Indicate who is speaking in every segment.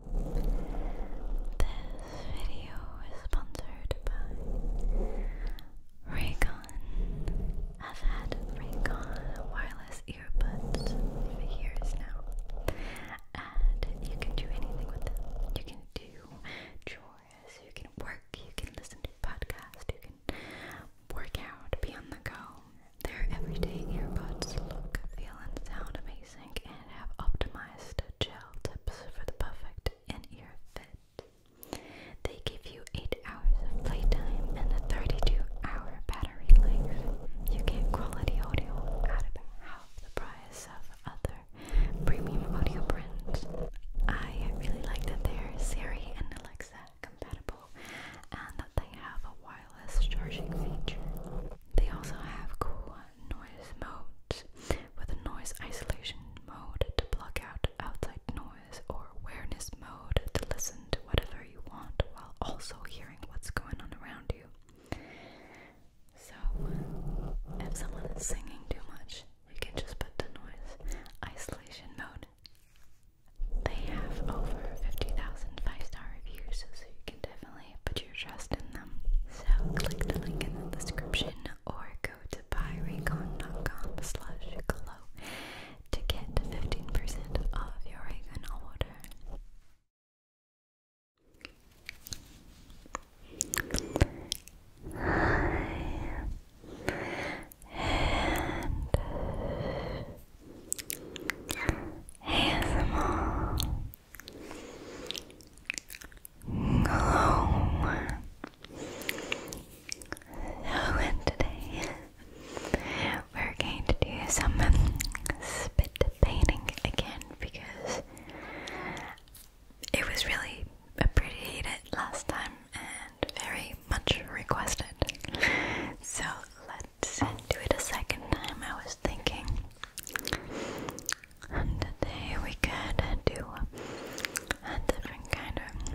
Speaker 1: This video is sponsored by Raycon. I've had Raycon wireless earbuds for years now, and you can do anything with them. You can do chores, you can work, you can listen to podcasts, you can work out, be on the go. Their everyday earbuds look, feel, and sound amazing and have optimized gel tips for the perfect in-ear fit. They give you 8 hours of playtime and a 32-hour battery life. You get quality audio at about half the price of other premium audio brands. I really like that they're Siri and Alexa compatible and that they have a wide charging feature. They also have cool noise modes with a noise isolation mode to block out outside noise or awareness mode to listen to whatever you want while also hearing what's going on around you. So, if someone is singing too much, you can just put the noise isolation mode. They have over 50,000 five star reviews, so you can definitely but you your trust in them. So click the link in the description or go to buyreconcom slash glow to get 15% off your Raycon order. And ASMR Hello. today we're going to do some um, spit painting again because it was really appreciated last time and very much requested. So let to do it a second time. I was thinking, and today we could do a different kind of.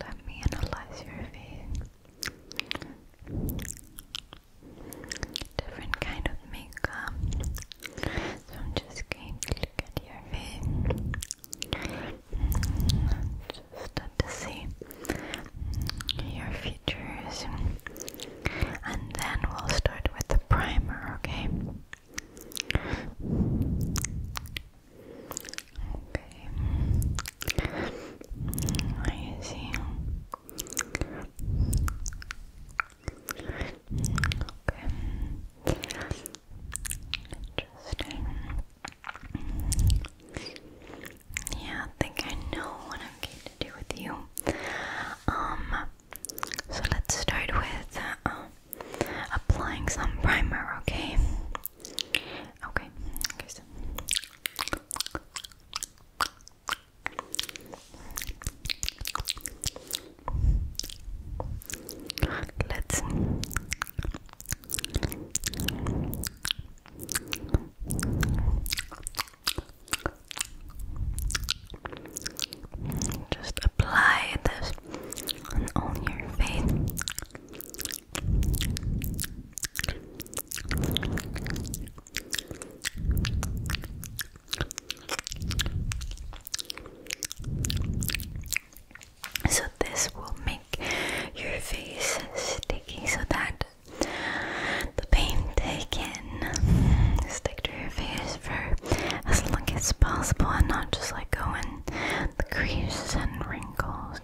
Speaker 1: Let me analyze your face. Different kind of makeup. So I'm just going to look at your face. Mm, just to see your and then we'll start with the primer, okay? Okay. Interesting. Yeah, I think I know what I'm going to do with you. Um, so let's start with um, applying some primer, okay? Okay, okay, so. Let's just apply this on your face. So this will make your face sticky so that the pain taken. Stick to your face for as long as possible and not just like going the creases and wrinkles.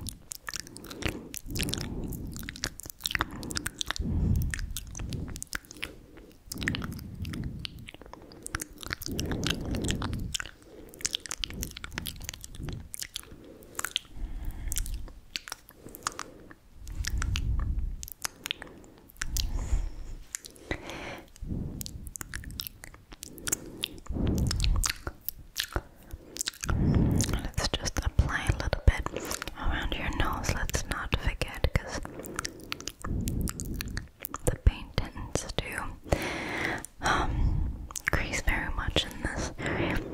Speaker 1: Let's just apply a little bit around your nose. Let's not forget because the paint tends to um, crease very much in this area.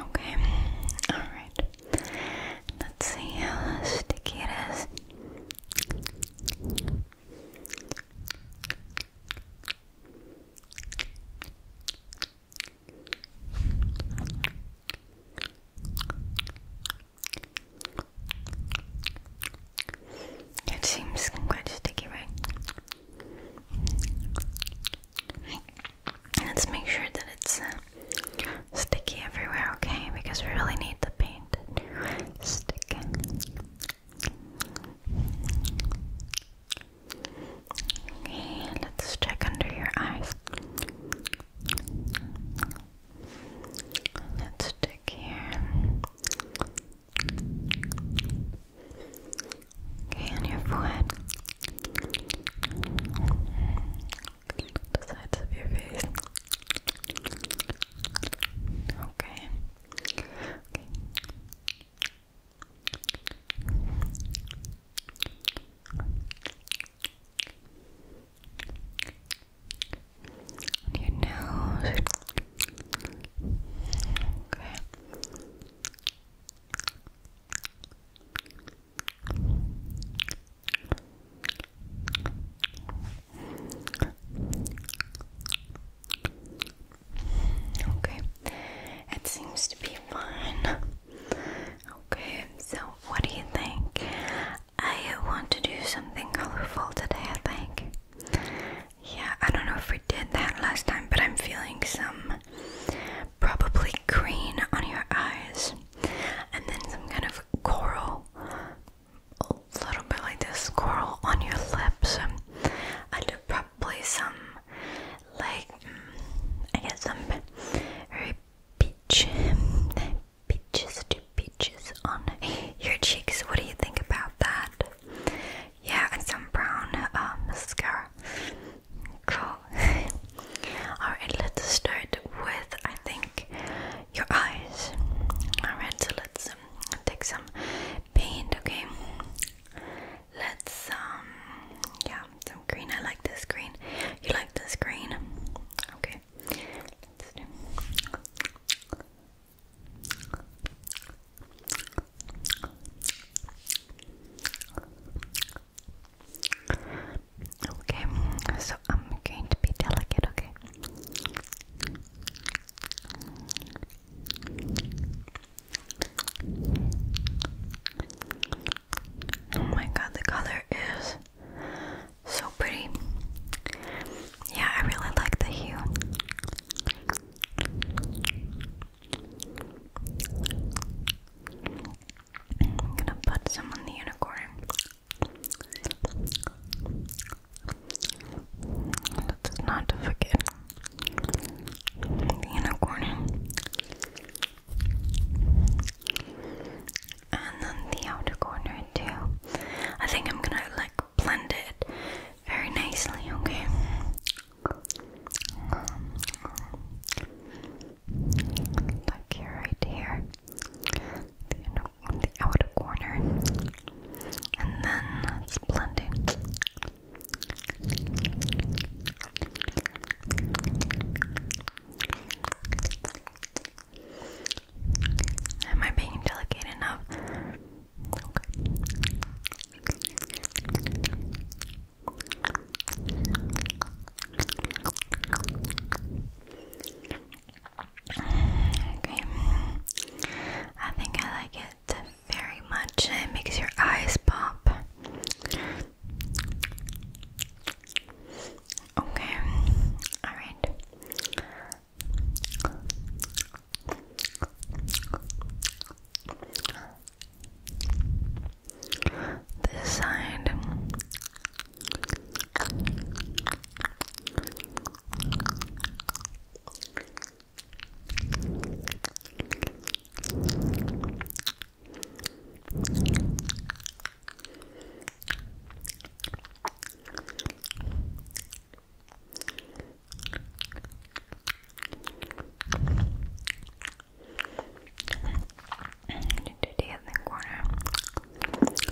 Speaker 1: Okay, alright. Let's see how sticky it is. It seems quite sticky, right? Let's make sure that it's uh, sticky everywhere, okay? Because we really need the paint to stick. Okay, let's check under your eyes. Let's stick here. Okay, on your forehead. The sides of your face. Okay on your nose. Okay. Okay, it seems to be fine. Okay, so what do you think? I want to do something colorful today, I think. Yeah, I don't know if we did that last time, but I'm feeling some probably green on your eyes, and then some kind of coral, a little bit like this coral on your lips. Um, I probably some, like, mm, I guess some very peach, peaches to peaches on your cheeks. What do you think about that? Yeah, and some brown uh, mascara. Cool. Alright, let's start with, I think, your eyes. Alright, so let's um, take some paint, okay? Let's, um, yeah, some green. I like this green. You like this green? Okay, Okay, so I'm going to be delicate, okay? Oh my god, the color is so pretty. Yeah, I really like the hue. I'm gonna put some on the unicorn. Let's not forget unicorn and then the outer corner too. I think I'm gonna like blend it very nicely, okay? Like here, right here, the, inner, the outer corner, and then let's blend Am I being delicate enough? Okay. I think I like it very much. It makes your eyes pop. Okay, alright. This side do the other corner. Okay.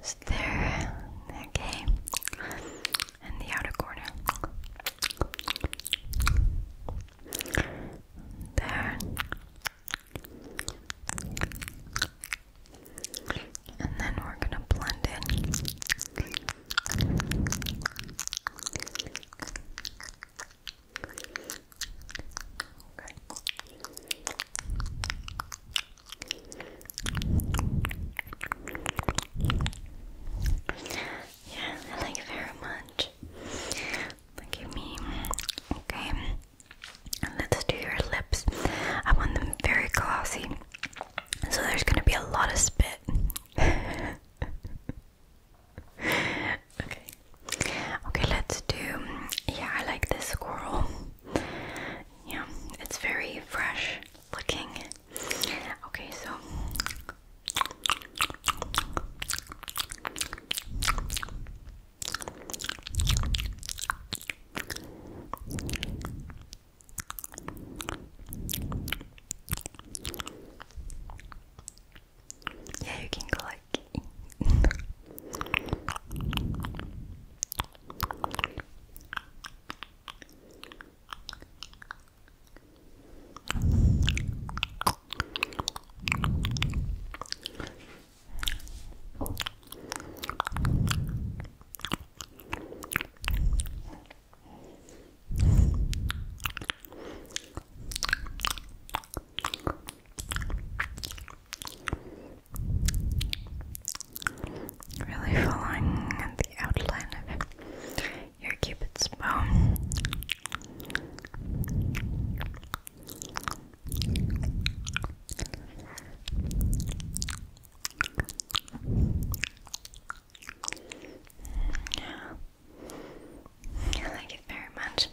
Speaker 1: Just there. Okay. And the outer corner. There. And then we're going to blend in. Okay. Yeah, I like it very much. Give me okay. Let's do your lips. I want them very glossy, so there's gonna be a lot of spit. okay. Okay, let's do. Yeah, I like this squirrel. Yeah, it's very fresh looking. Okay, so. Yeah, you can go like. Really following the outline of your cupid's bow. Yeah. I like it very much.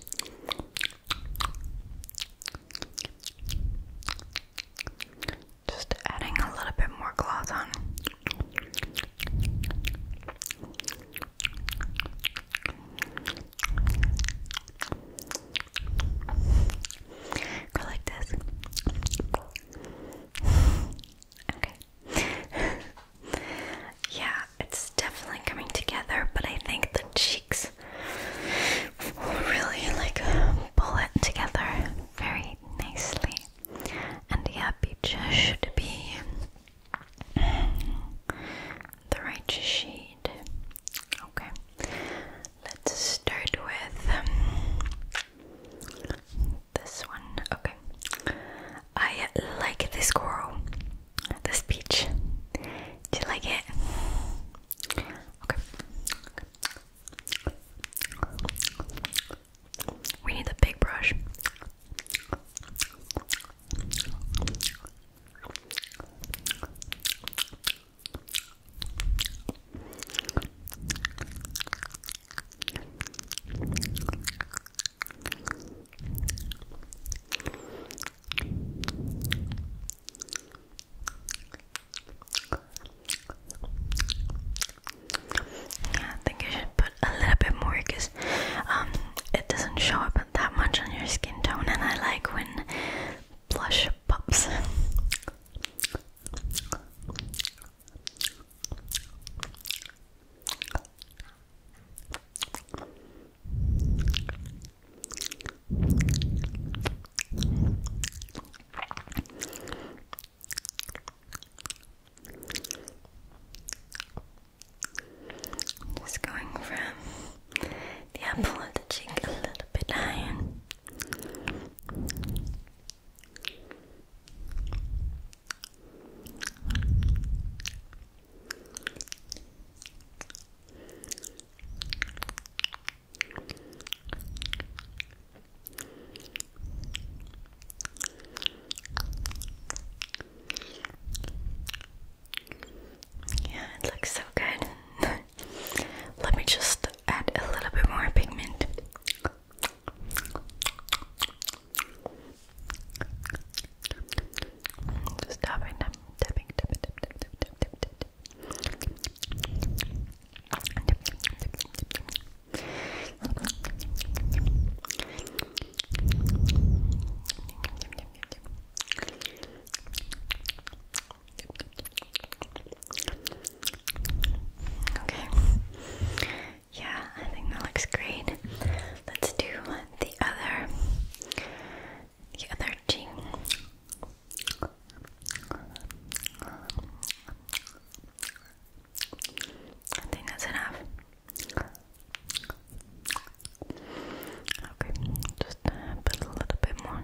Speaker 1: Just adding a little bit more gloss on. Go like this. Okay. yeah, it's definitely coming together, but I think the cheeks really like pull it together very nicely. And yeah, peaches should be the right shade. Okay, let's start with um, this one. Okay, I like this coral the speech. Do you like it? Okay. We need the big brush. Yeah, I think I should put a little bit more because um, it doesn't show up that much on your skin tone, and I like when blush pops. I'm just going from the apple of the cheek a little bit down. Yeah, it looks so good. Let me just add a little bit more pigment. Just tapping, Okay. Yeah, I think that looks great. Let's do the other the other team. I think that's enough. Okay, just put a little bit more.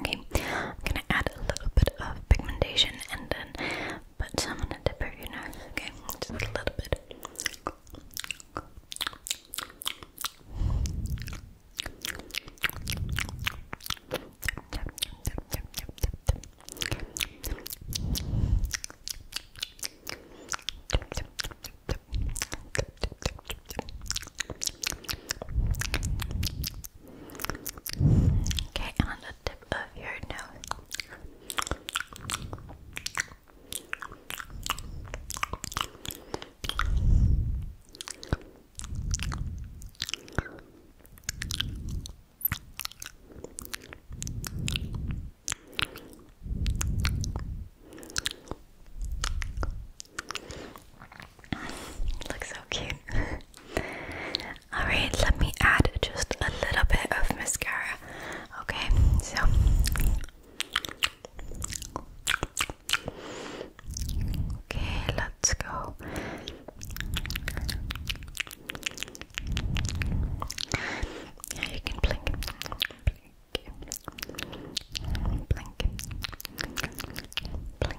Speaker 1: Okay, I'm gonna add a little bit of pigmentation and then put some on the tip of your okay? Just a little bit. Okay, and on the tip of your nose. Looks so cute. Alright, let me add just a little bit of mascara. Okay, so okay, let's go. Yeah, you can blink, blink, blink, blink,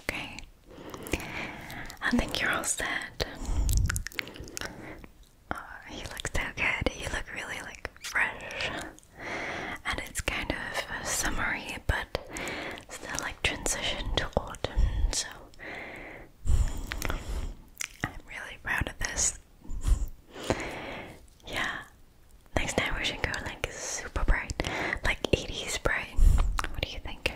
Speaker 1: Okay, I think you're all set. Uh, you look so good. You look really like fresh, and it's kind of uh, summery, but still like transition to autumn. So I'm really proud of this. yeah. Next time we should go like super bright. Like 80s bright. What do you think?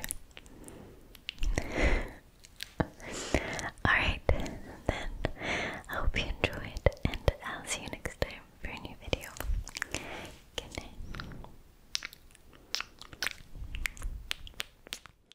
Speaker 1: Alright, then I hope you enjoyed and I'll see you next time for a new video. Good night.